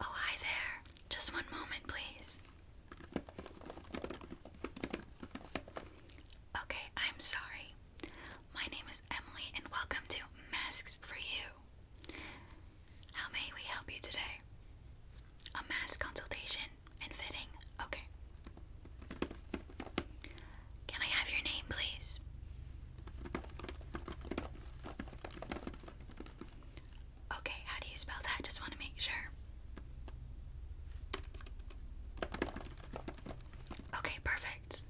Oh, hi there. Just one moment, please. Okay, I'm sorry. My name is Emily, and welcome to Masks for You. How may we help you today? A mass consultation and fitting? Okay. Can I have your name, please? Okay, how do you spell that? Just want to make sure. Okay, perfect.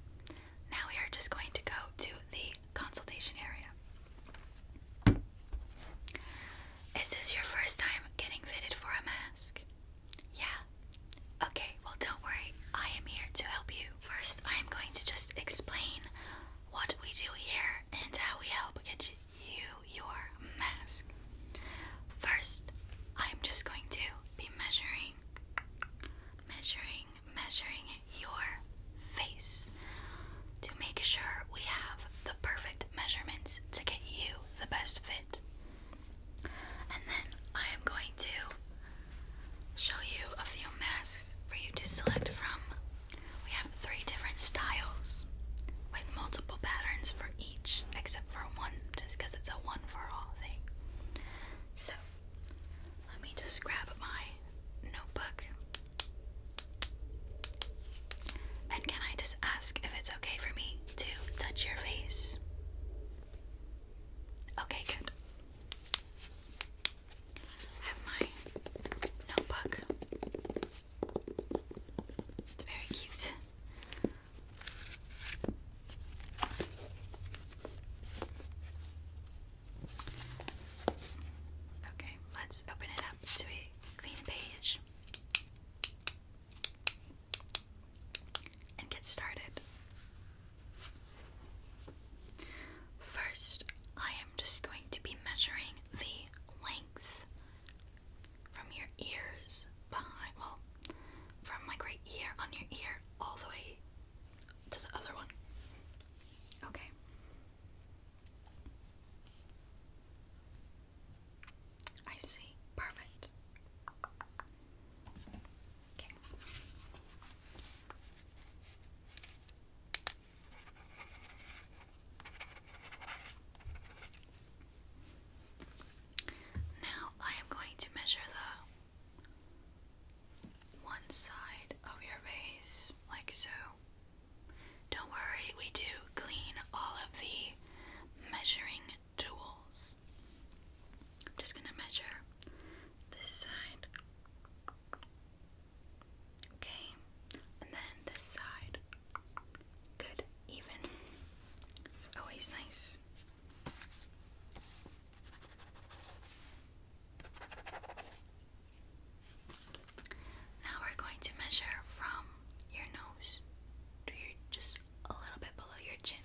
Now we are just going to go to the consultation area. Is this your first time getting fitted for a mask? Yeah. Okay, well, don't worry. I am here to help you. First, I am going to just explain what we do here and how we help get you your mask. First, I'm just going to be measuring, measuring measuring your face to make sure we have the perfect measurements to get you the best fit. And then I am going to show you a few masks for you to select from. We have three different styles with multiple patterns for each, except for one, just because it's a one for all thing. So, let me just grab my notebook and can I just ask if it's okay for me to touch your face? Okay, good. I have my notebook. It's very cute. Okay, let's open it up to a clean page and get started. First, I am just going to be measuring the length from your ears behind, well, from like right here on your ear all the way to the other one. Okay. I see. Perfect. Okay. Now I am going to measure the one side of your face, like so. Don't worry, we do clean all of the measuring tools. I'm just going to measure this side. Okay, and then this side. Good, even. It's always nice. Now we're going to measure from your nose to your just a little bit below your chin.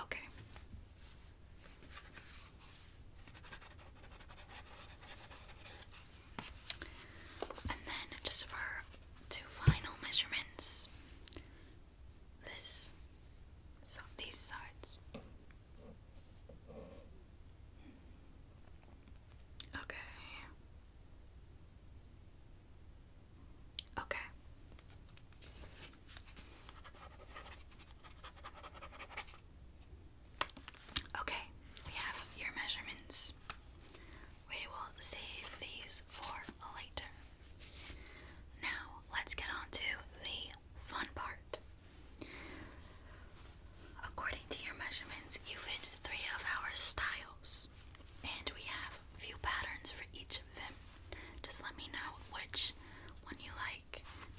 Okay. And then just for two final measurements. This so these sides. Okay. Okay. Okay, we have your measurements. We will save these for later. Now, let's get on to the fun part. According to your measurements, you fit three of our styles, and we have few patterns for each of them. Just let me know which one you like.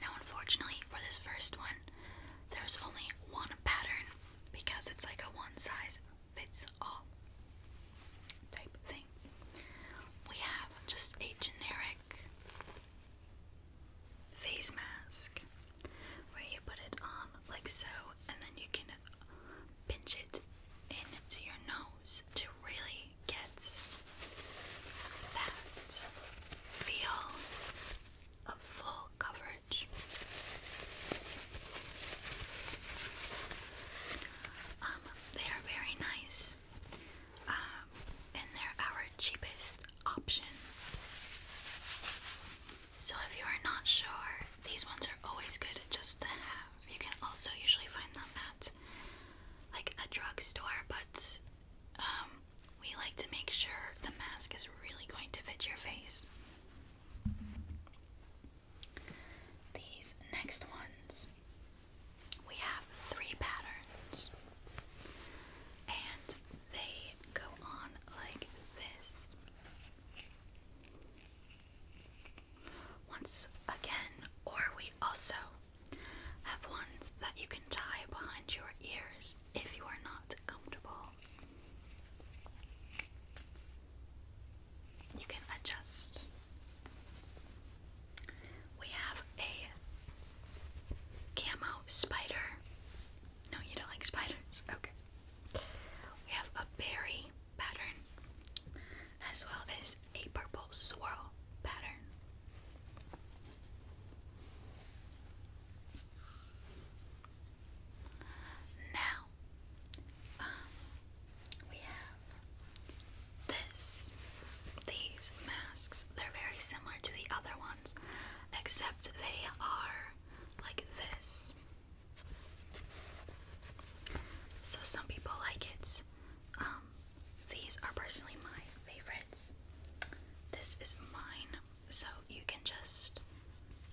Now, unfortunately, for this first one, there's only one pattern because it's like a one size fits all type thing. We have just a generic face mask where you put it on like so, and then you can pinch it into your nose to really get that feel of full coverage. Um, they are very nice, um, and they're our cheapest option. So if you are not sure, these ones are always good just to have. You can also usually find them at like a drugstore, but um, we like to make sure the mask is really going to fit your face. These next ones, we have three patterns, and they go on like this. Once again, or we also have ones that you can tie behind your ears if you are not comfortable. You can adjust. We have a camo spider. No, you don't like spiders. Okay. We have a berry pattern as well as a purple swirl pattern. Now, um, we have this. These masks, they're very similar to the other ones, except they are like this. So some people like it um, these are personally my favorites. This is mine, so you can just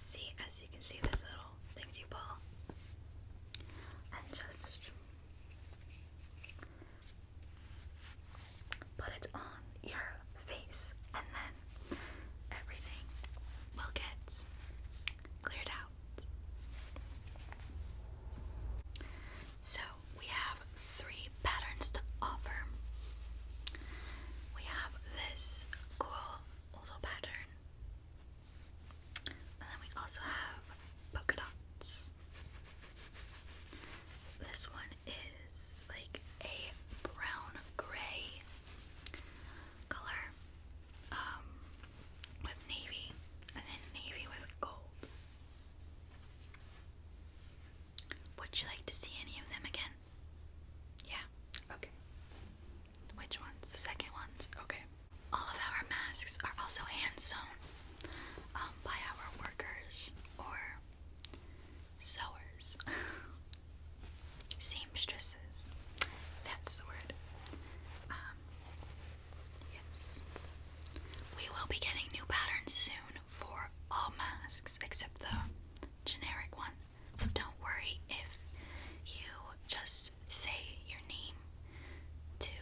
see, as you can see, this little things you pull, and just put it on your face, and then everything will get cleared out. So we have three patterns to offer. We have this cool little pattern, and then we also have polka dots. This one is like a brown gray color um, with navy and then navy with gold. Would you like to see any of them again? Yeah, okay. Which ones? The second ones? Okay. All of our masks are also hand sewn um, by our workers or sewers. Seamstresses. Viruses. That's the word. Um, yes. We will be getting new patterns soon for all masks except the generic one. So don't worry if you just say your name to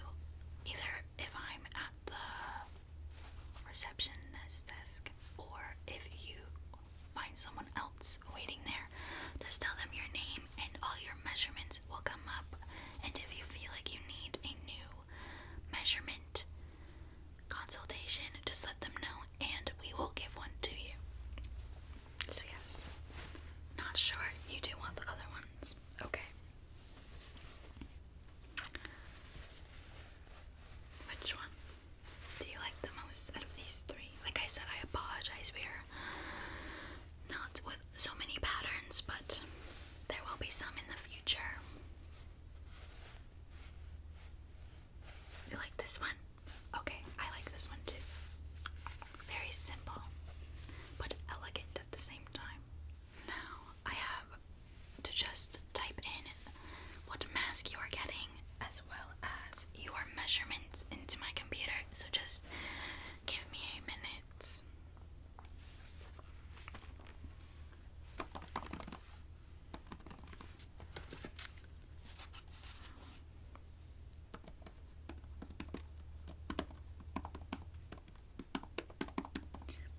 either if I'm at the receptionist desk or if you find someone else waiting there. Just tell them your name and all your measurements will come up. And if you feel like you need a new measurement consultation, just let them know and we will give one to you. So, yes. Not sure you do want the other ones. Okay. Which one do you like the most out of these three? Like I said, I apologize. We are not with so many patterns, but there will be some in the future. You like this one? Okay, I like this one too. Very simple, but elegant at the same time. Now I have to just type in what mask you are getting as well as your measurements into my computer, so just give me a minute.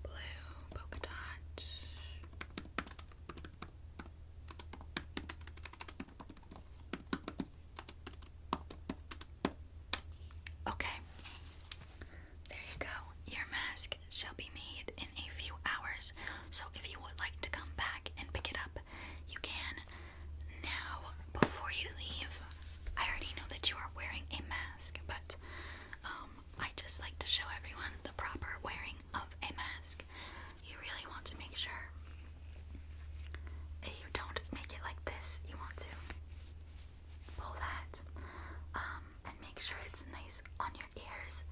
Blue polka dot. Okay. There you go. Your mask shall be made in a few hours. So if you would like to come back and pick it up, you can. Now, before you leave, I already know that you are wearing a mask, but um I just like to show everyone the proper wearing of a mask, you really want to make sure you don't make it like this. You want to pull that um, and make sure it's nice on your ears.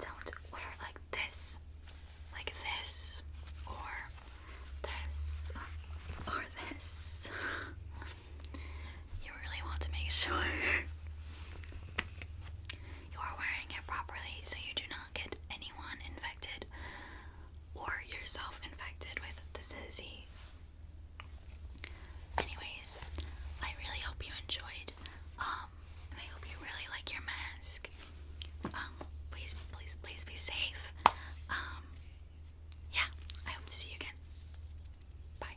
Don't wear it like this, like this, or this, um, or this. you really want to make sure you are wearing it properly so you do not get anyone infected or yourself infected with this disease. Anyways, I really hope you enjoyed, um, I hope you really like your mask. Um, please, please, please be safe. Um, yeah, I hope to see you again. Bye.